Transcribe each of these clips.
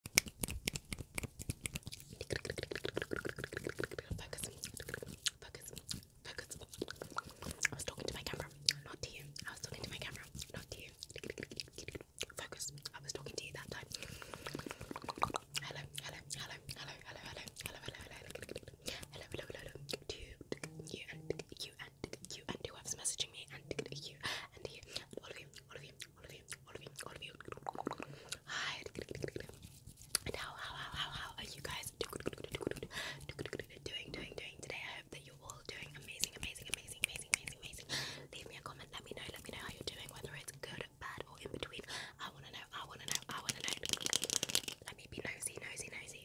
I was talking to my camera, not to you. I was talking to my camera, not to you. Focus, I was talking to you that time. Hello, hello, hello, hello, hello, hello, hello, hello, hello, hello, hello, hello. Do you, you and you and you and whoever's messaging me and you and you, all of you, all of you, Hi. how, how, how, how, how are you guys doing, doing, doing today? I hope that you're all doing amazing, amazing, amazing, amazing, amazing, amazing. Leave me a comment. Let me know. Let me know how you're doing, whether it's good, bad, or in between. I wanna know. I wanna know. I wanna know. Let me be nosy, nosy, nosy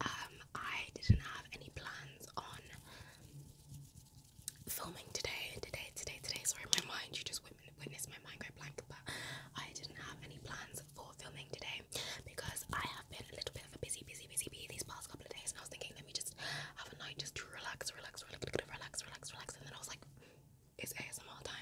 um, I didn't have any plans on filming today, today, today, today. Sorry, my mind, you just witnessed my mind go blank, but I didn't have any plans for filming today because I have been a little bit of a busy, busy, busy bee these past couple of days, and I was thinking, let me just have a night just to relax, relax, relax, relax, relax, relax, and then I was like, it's ASMR time.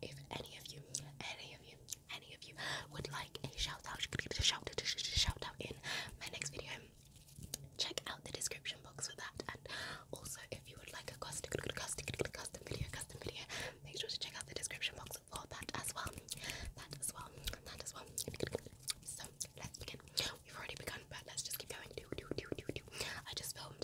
If any of you, any of you, any of you would like a shout out, shout out, shout out in my next video, check out the description box for that. And also, if you would like a custom, custom, custom video, custom video, make sure to check out the description box for that as well. That as well. That as well. So let's begin. We've already begun, but let's just keep going. Do do do do do. I just filmed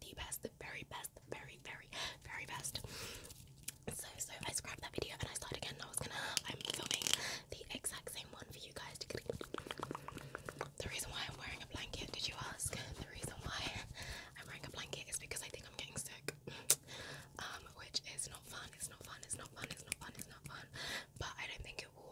the best, the very best, the very, very, very best. So, so I scrapped that video and I started again. I was gonna, I'm filming the exact same one for you guys. The reason why I'm wearing a blanket, did you ask? The reason why I'm wearing a blanket is because I think I'm getting sick. Um, which is not fun. It's not fun. It's not fun. It's not fun. It's not fun. But I don't think it will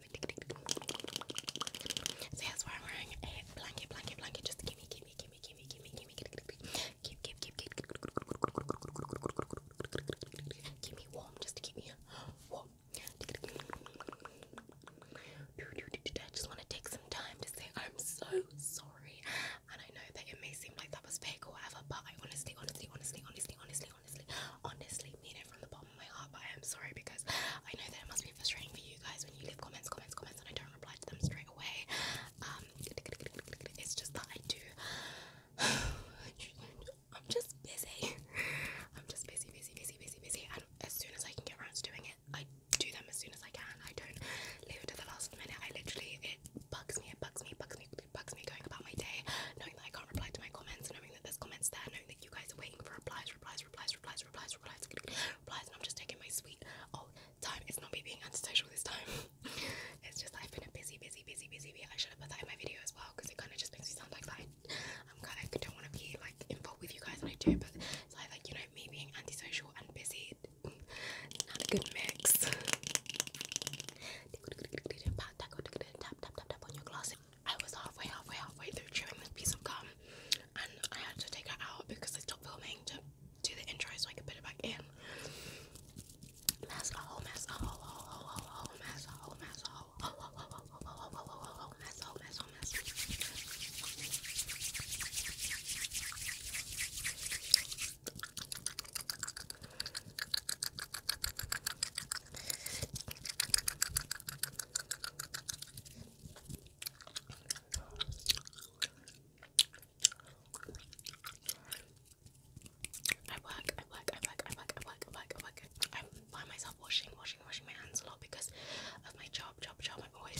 love. So yes, we wearing a blanket, blanket, blanket. Just gimme, gimme, gimme, gimme, gimme, gimme, keep, keep, keep, keep, keep me warm, just to keep me warm. I just want to take some time to say I'm so sorry, and I know that it may seem like that was fake or whatever, but I honestly, honestly, honestly, honestly, honestly, honestly. Honestly, mean it from the bottom of my heart, but I am sorry because I know that it must be frustrating for you guys when you leave comments, comments, comments, and I don't reply to them straight away. Um, it's just that I do. I'm just busy. I'm just busy, busy, busy, busy, busy, and as soon as I can get around to doing it, I do them as soon as I can. I don't leave it to the last minute. I literally it bugs me, it bugs me, bugs me, it bugs me going about my day, knowing that I can't reply to my comments, knowing that there's comments there, that you guys are waiting for replies, replies, replies, replies, replies, replies, replies, and I'm just taking my sweet oh time. It's not me being antisocial this time. it's just I've been a busy, busy, busy, busy I should have put that in my video as well because it kind of just makes me sound like I'm kind of don't want to be like involved with you guys, and I do, but it's like, you know me being antisocial and busy, not a good mix. Tap tap tap tap on your glasses. I was halfway, halfway, halfway through chewing this piece of gum, and I had to take it out because I stopped filming to do the intro so I could put it back in. I work, I work, I work, I work, I work, I work, I work. I find myself washing, washing, washing my hands a lot because of my job, job, job. I'm always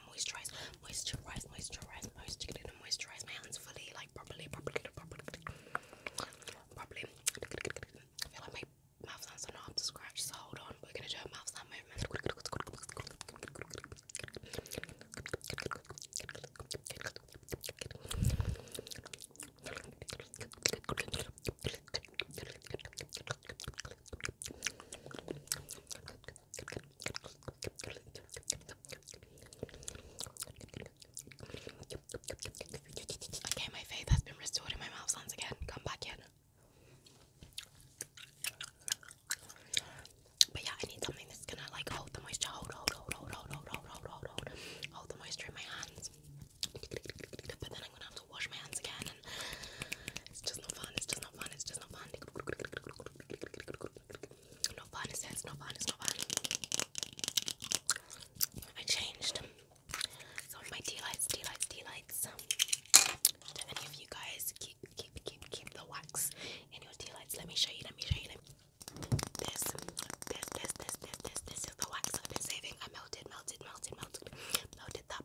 gonna moisturize, moisturize, moisturize, moisturize, gonna moisturize my hands fully, like properly, properly, properly, properly. I feel like my mouth sounds are not up to scratch, so hold on. We're gonna do a mouth sound movement. Okay, my faith has been restored in my mouth sounds again. Come back in. But yeah, I need something that's gonna like hold the moisture. Hold, hold, hold, hold, hold, hold, hold, hold, hold, the moisture in my hands. But then I'm gonna have to wash my hands again, and it's just not fun. It's just not fun. It's just not fun. No fun. It says no fun. It's not fun. I changed some of my tea lights. Tea lights. Tea lights. Do any of you guys keep keep keep keep the wax in your tea lights? Let me show you. Let me show you. Let me this, this, this, this, this, this, this is the wax I've been saving. I melted, melted, melted, melted, melted that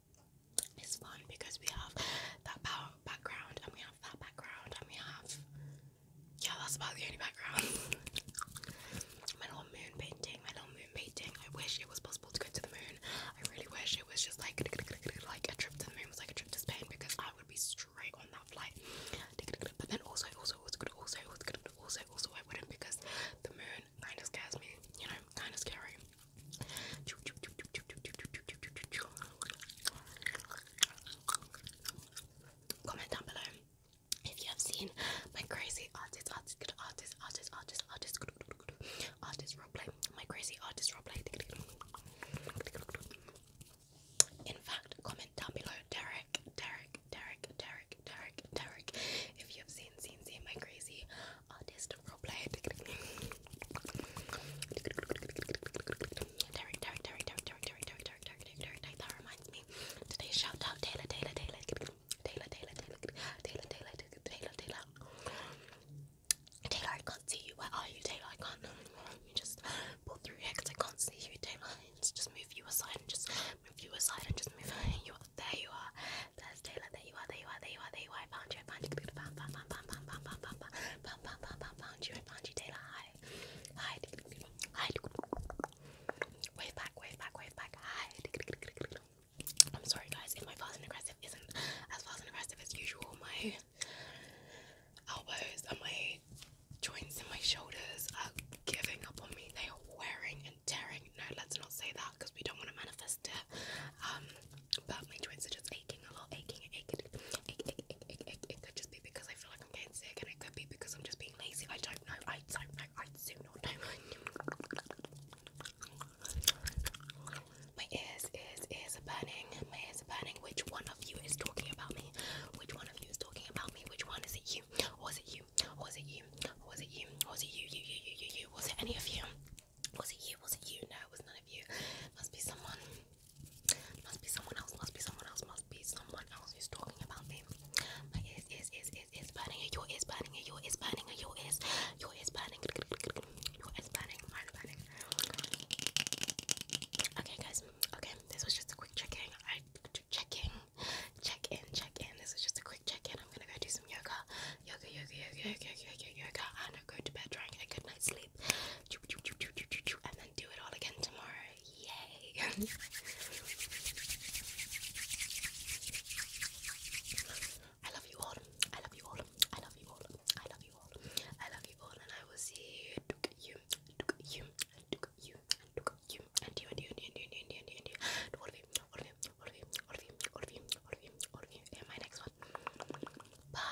it's fun because we have that power background and we have that background and we have yeah that's about the only background my little moon painting my little moon painting i wish it was possible to go to the moon i really wish it was just like like a trip to the moon was like a trip to spain because i would be straight on that flight but then also also also also also also, also i wouldn't because the moon kind of scares me, you know, kind of scary. Comment down below if you have seen my crazy artist, artist, good artist, artist, artist, artist, good, good, good, good, artist roleplay, my crazy artist roleplay. In fact, comment down below, Derek, Derek, Derek, Derek, Derek, Derek, if you have seen, seen, seen my crazy artist role player. Derek, Derek, Derek, Derek, Derek, Derek, That reminds me. Today's shout Taylor, Taylor, Taylor, Taylor, Taylor, Taylor, Taylor, Taylor, Taylor, Taylor. I can't see you. Where are you, Taylor? I can't. You just pull through because I can't see you, Taylor. Just move you aside and just you aside and just move. you are there. You are. There's Taylor. There you are. There you are. There you are. There you are. I found you. I found you. Found, found, found, found, found, found, found, found, found, found, found, found, found you. I found you, Taylor. Hi. Hi. Hi. Wave back. Wave back. Wave back. Hi. I'm sorry, guys. If my fast and aggressive isn't as fast and aggressive as usual, my elbows and my joints in my shoulders are giving up on me. They are wearing and tearing. No, let's not say that out because we don't want to manifest it. Um, but my joints are just aching a lot, aching, aching, aching, aching, aching, aching. It could just be because I feel like I'm getting sick, and it could be because I'm just being lazy. I don't know. I don't know. I do not know. My ears, ears, ears are burning. My ears are burning. Which one of you is talking about me? Which one of you is talking about me? Which one is it? You or is it you? Was it you? Was it you? Was it you? You, you, you, you, you? Was it any of you? Was it you? Was it you? No, it was none of you. Must be someone. Must be someone else. Must be someone else. Must be someone else who's talking about me. My ears, ears, ears, ears, ears burning. Your ears burning. Your ears burning. Your ears. Your ears burning. Your ears burning. Mine burning. Okay, guys. Okay, this was just a quick check-in to check in. Check in, check in. This is just a quick check in. I'm gonna go do some yoga. Yoga, yoga, yoga, yoga, yoga, yoga. And I'll go to bed trying to get a good night's sleep. And then do it all again tomorrow. Yay! I love you all. I love you all. I love you all. I love you all. I love you all. And I will see you. You. You. You. You and you, and you, and you, and you, and you, all of you, all of you, all of you, all of you, all of you, all of you, all of you, and my next one. Bye.